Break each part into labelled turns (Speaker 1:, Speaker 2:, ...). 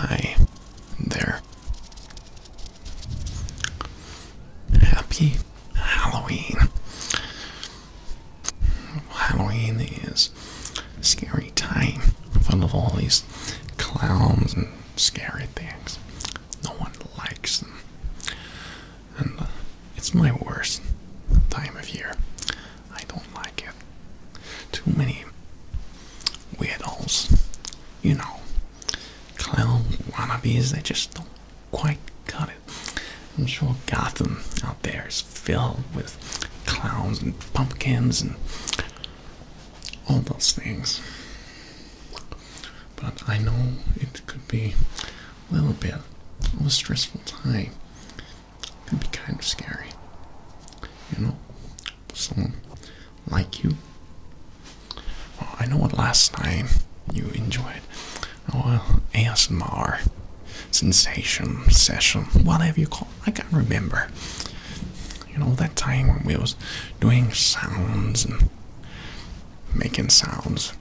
Speaker 1: Hi there. Happy Halloween. Halloween is a scary time full of all these clowns and scary things. No one likes them. And it's my worst time of year. I don't like it. Too many weirdos, you know, clown wannabes, they just don't quite got it. I'm sure Gotham out there is filled with clowns and pumpkins and all those things. But I know it could be a little bit of a stressful time. It be kind of scary. You know, someone like you. I know what last time you enjoyed. Oh, well, sensation, session, whatever you call I can't remember you know, that time when we was doing sounds and making sounds.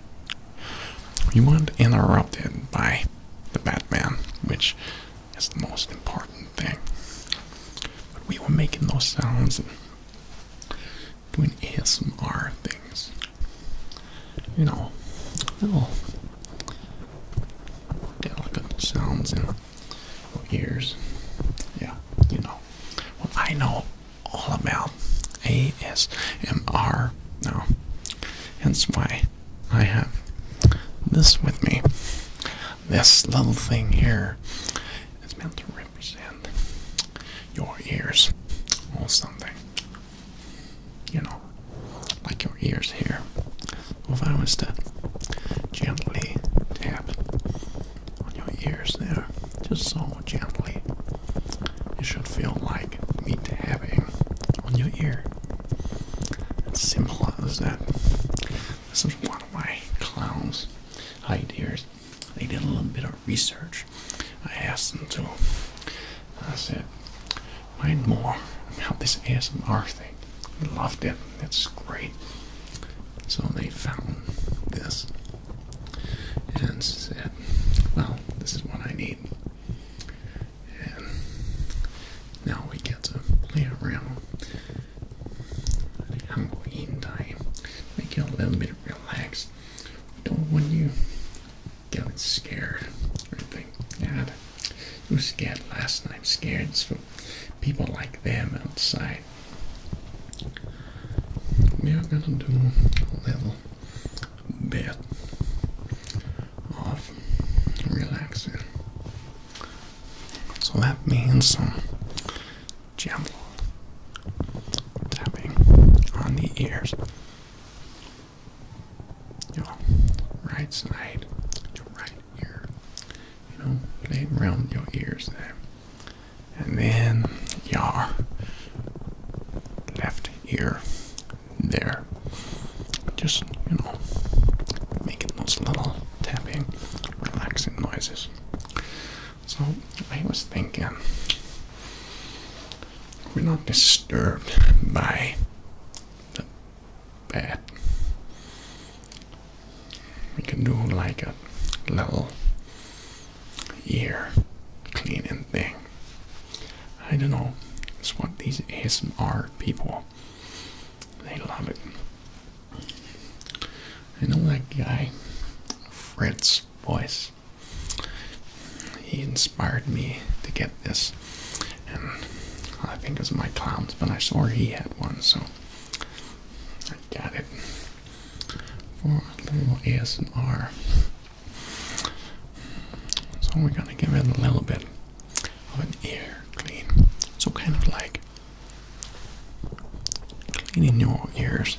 Speaker 1: We weren't interrupted by the Batman, which is the most important thing. But we were making those sounds and doing ASMR things. You know, little delicate sounds and ears. Yeah, you know. Well, I know all about ASMR now. Hence why I have this with me. This little thing here is meant to represent your ears or something. You know, like your ears here if I was to gently tap on your ears there, just so gently, it should feel like me tapping on your ear. It's simple that. This is one way clowns hide ears. They did a little bit of research. I asked them to. I said, mind more about this ASMR thing loved it. It's great. So they found this and said, Well, this is what I need. And now we get to play around Halloween time. Make you a little bit relaxed. We don't want you getting scared or anything. Yeah, you were scared last night, scared, so people like them outside. We are gonna do a little bit of relaxing. So that means some gentle tapping on the ears. Your right side, right you you know, playing around your ears there. And then your left ear there. Just, you know, making those little tapping, relaxing noises. So I was thinking we're not disturbed by bad. We can do like a little ear cleaning thing. I don't know. It's what these ASMR people they love it. I know that guy, Fritz voice. He inspired me to get this, and I think it was my clowns, but I saw he had one, so I got it. For a little ASMR. So we're gonna give it a little bit of an ear clean. So kind of like cleaning your ears.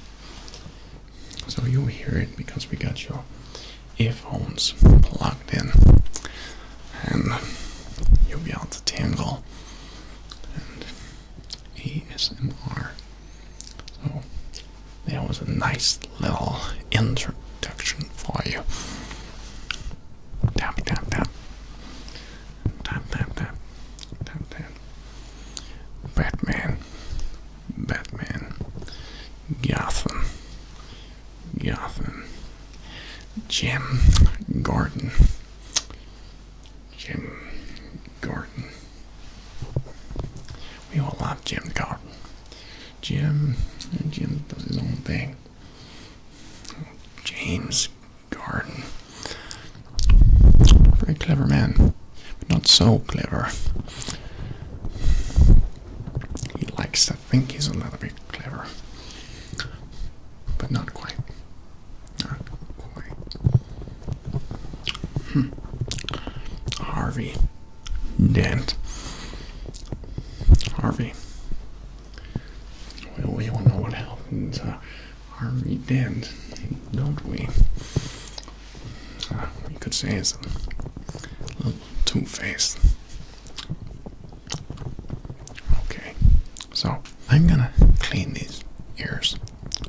Speaker 1: So you'll hear it because we got your earphones plugged in and you'll be able to tangle and ASMR. So that was a nice little introduction for you. Tap tap tap. Tap tap tap. Tap tap. Batman. Batman. Gotham. Gotham. Jim Gordon. Jim Gordon. We all love Jim Gordon. Jim, Jim does his own thing. James Gordon. Very clever man, not so clever. He likes to think he's a little bit clever but not quite. Not quite. Hmm. Harvey Dent. Harvey. We, we all know what happens, to uh, Harvey Dent, don't we? you uh, could say it's a little two-faced. Okay, so I'm gonna clean these ears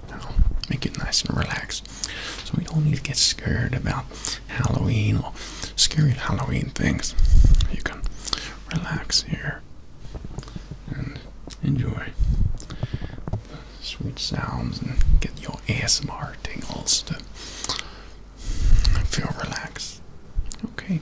Speaker 1: now, make it nice and relaxed. So we don't need to get scared about Halloween or scary Halloween things. You can relax here and enjoy the sweet sounds and get your ASMR tingles to feel relaxed. Okay.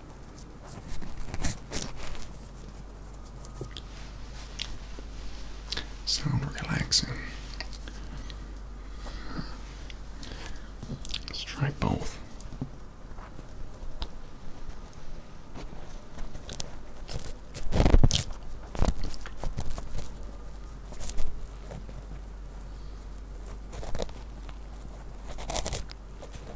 Speaker 1: So relaxing. Let's try both.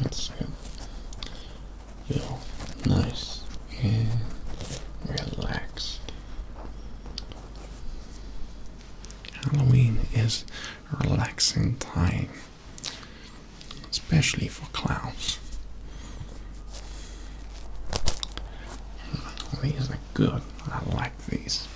Speaker 1: That's good. Feel nice and relaxed. Halloween is a relaxing time especially for Klaus. These are good. I like these.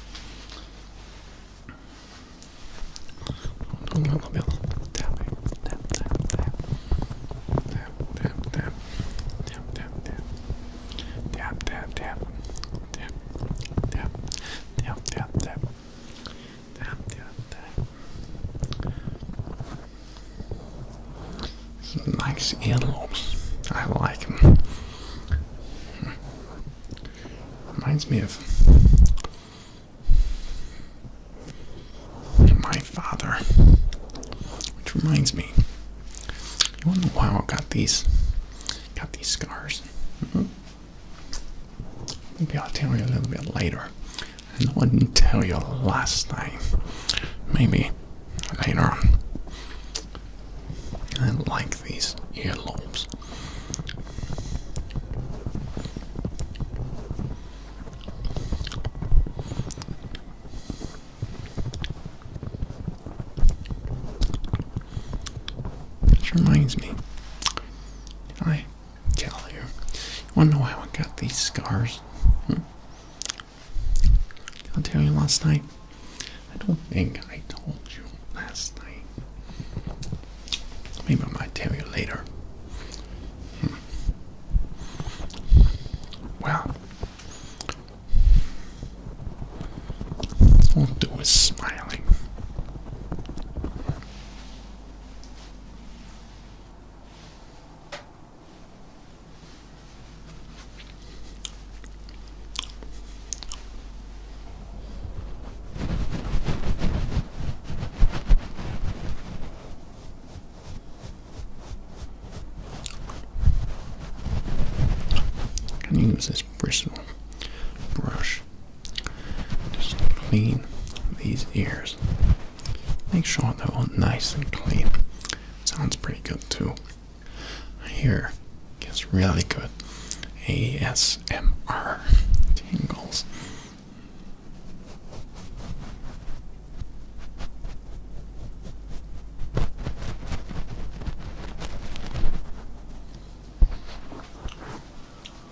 Speaker 1: He earlobes. I like him. Reminds me of my father. Which reminds me. You wonder why I got these got these scars? Hmm? Maybe I'll tell you a little bit later. I wouldn't tell you last night. Maybe later. I like these earlobes. This reminds me. I gal You wanna know how I got these scars? Hmm? I'll tell you last night. I don't think I told you last night. Maybe I might tell you later. Hmm. Well, all I do is smiling. I can use this bristle brush just clean these ears. Make sure they're all nice and clean. Sounds pretty good too. Here gets really good ASMR tingles.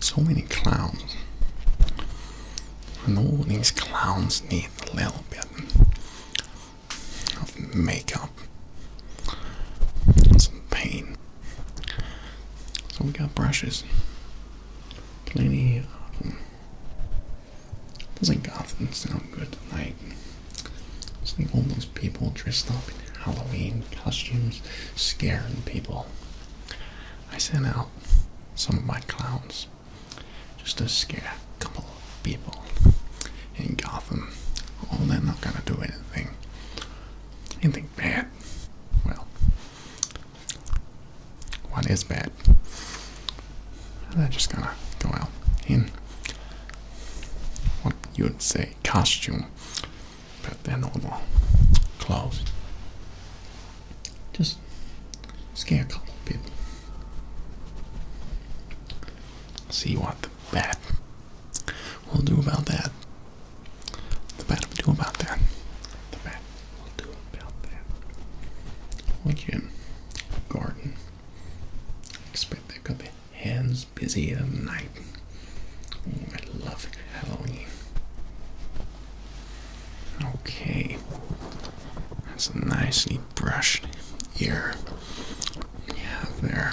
Speaker 1: So many clowns. And all these clowns need a little bit of makeup some paint. So we got brushes. Plenty of them. Doesn't Gotham sound good tonight? Seeing all those people dressed up in Halloween costumes, scaring people. I sent out some of my clowns just to scare a couple of people in Gotham. Oh, they're not gonna do anything, anything bad. Well, what is bad? They're just gonna go out in what you would say costume put their normal clothes. Just scare a couple of people. See what the bat will do about that. The bat will do about that. The bat will do about that. Would you garden? Expect there could be hands busy at night. I love Halloween. Okay, that's a nicely brushed ear. Yeah, there.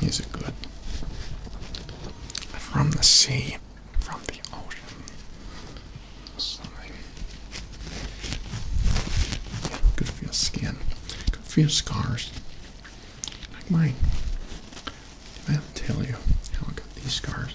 Speaker 1: These are good. From the sea, from the ocean. Something. Good for your skin. Good for your scars. Like mine. I'll tell you how I got these scars.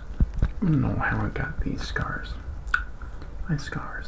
Speaker 1: I don't know how I got these scars. My scars.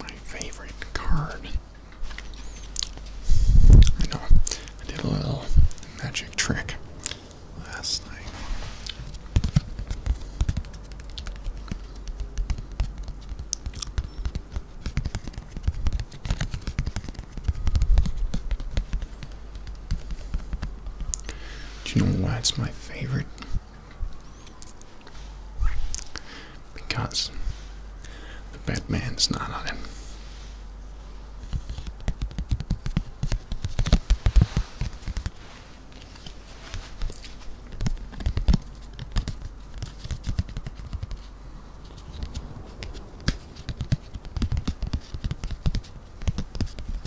Speaker 1: My favorite card. I know I did a little magic trick last night. Do you know why it's my favorite? Because the bad man's not on him.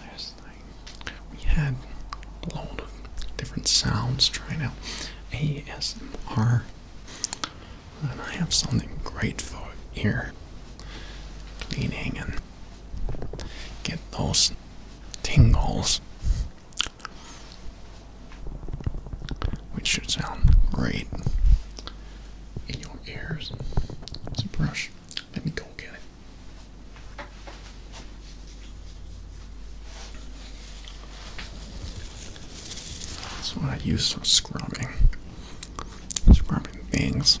Speaker 1: Last night we had a lot of different sounds trying out ASMR, and I have something great for here leaning and get those tingles, which should sound great in your ears. It's a brush. Let me go get it. That's what I use some scrubbing. Scrubbing things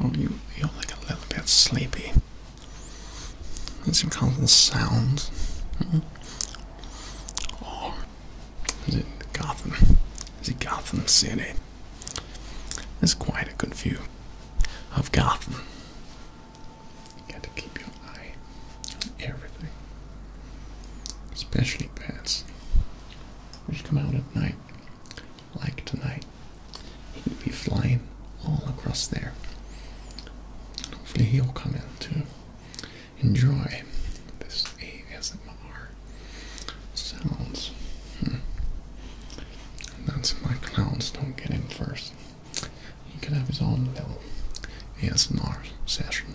Speaker 1: Oh, you, you're like a little bit sleepy. Is it because of the sound? Mm -hmm. Or is it Gotham? Is it Gotham City? It's quite a good view of Gotham. You got to keep your eye on everything, especially bats, which come out at night like tonight, he will be flying all across there. Hopefully, he'll come in to enjoy this ASMR sounds. Hmm. That's my clowns don't get in first. He could have his own little ASMR session.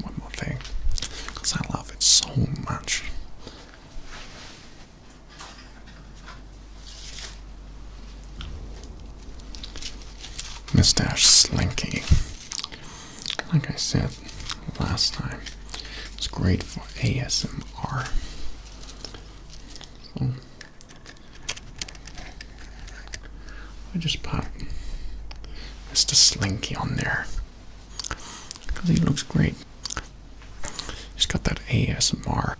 Speaker 1: one more thing, because I love it so much. Mustache Slinky. Like I said last time, it's great for ASMR. I just pop Mr. Slinky on there because he looks great. He's got that ASMR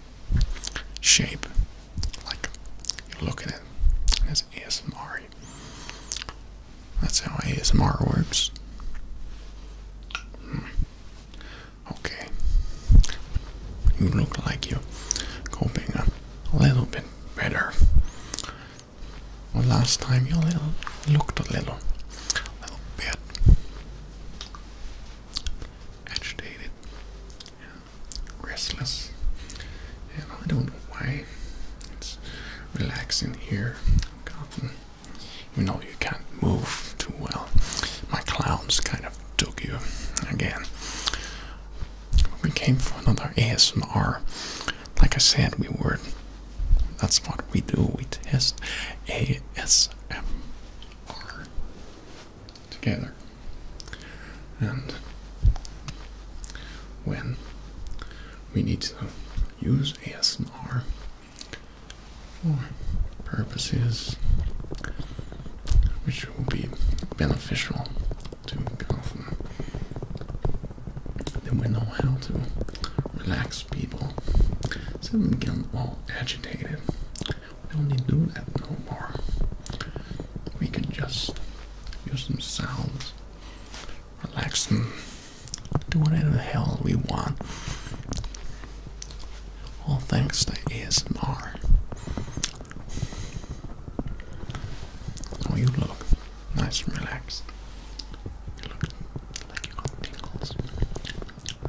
Speaker 1: shape, like you look at it, and ASMR. That's how ASMR works. Hmm. Okay, you look like you're coping a little bit better last time you looked a little, little bit agitated restless, and I don't know why. It's relaxing here, You know you can't move too well. My clowns kind of took you again we came for another ASMR. Like I said, we were. That's what we do. We test ASMR together. And when we need to use ASMR for purposes which will be beneficial to Gotham, then we know how to relax people. So them getting all agitated. We don't need to do that no more. We can just use some sounds, relax them, do whatever the hell we want. All thanks to ASMR. Oh, you look nice and relaxed. You tingles.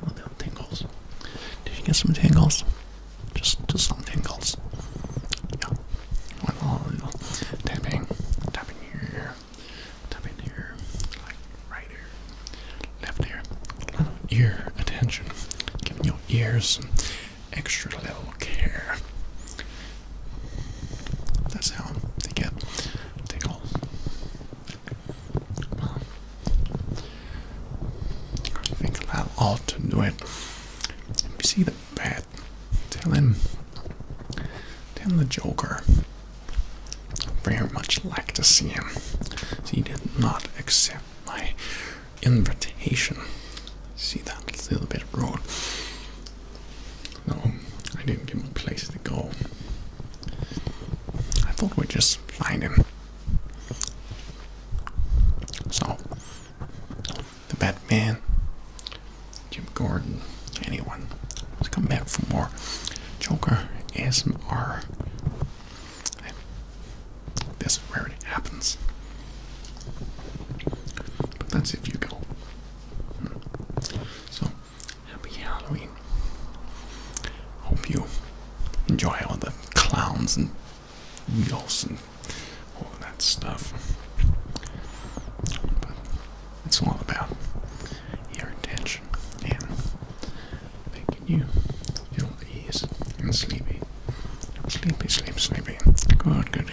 Speaker 1: Oh, tingles. Did you get some tangles? Just, just some tingles. Yeah. One little, tapping, tapping here, tapping here, like right here, left ear. A ear attention. Giving your ears extra level care. That's how they get tickles. Well, I think that ought to do it. If you see the bat, tell him, tell him the Joker. Very much like to see him. He did not accept my invitation. See that little bit of road? No, I didn't give him a place to go. I thought we'd just find him. So, the Batman, Jim Gordon, anyone. Let's come back for more Joker ASMR. This is where happens. But that's if you go. So, happy Halloween. Hope you enjoy all the clowns and needles and all that stuff. But it's all about your attention. and making you feel these. ease and sleepy. Sleepy, sleep, sleepy. Good, good.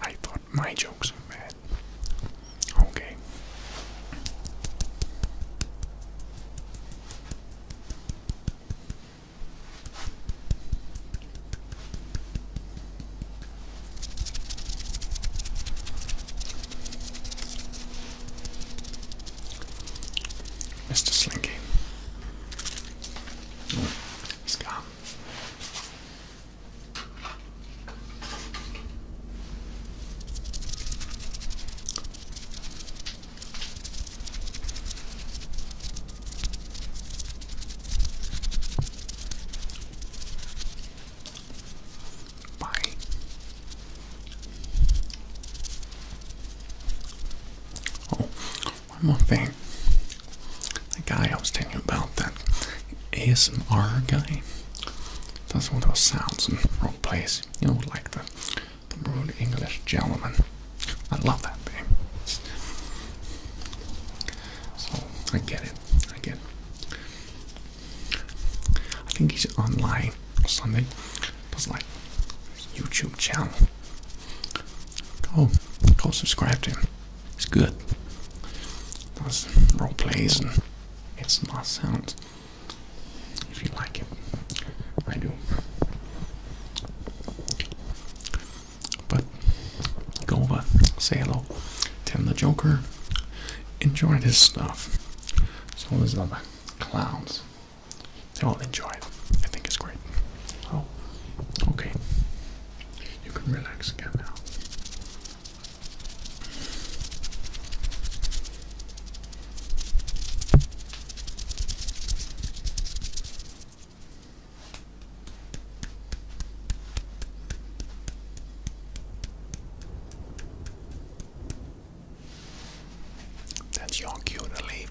Speaker 1: I thought my jokes were bad. Okay. Mr. Slinky. he's gone. Bye. Oh, one more thing. The guy I was telling you about, that ASMR guy, does all those sounds and role plays. You know, like the, the rude English gentleman. I love that thing. So I get it. I get it. I think he's online or something. Plus, like YouTube channel. Go, go subscribe to him. It's good. Does role plays and it's not sounds. If you like it, I do. But go over, say hello, tell the Joker, enjoy this stuff. So all these other clowns, they all enjoy it. I think it's great. Oh, okay. You can relax again now. That's your cue to leave.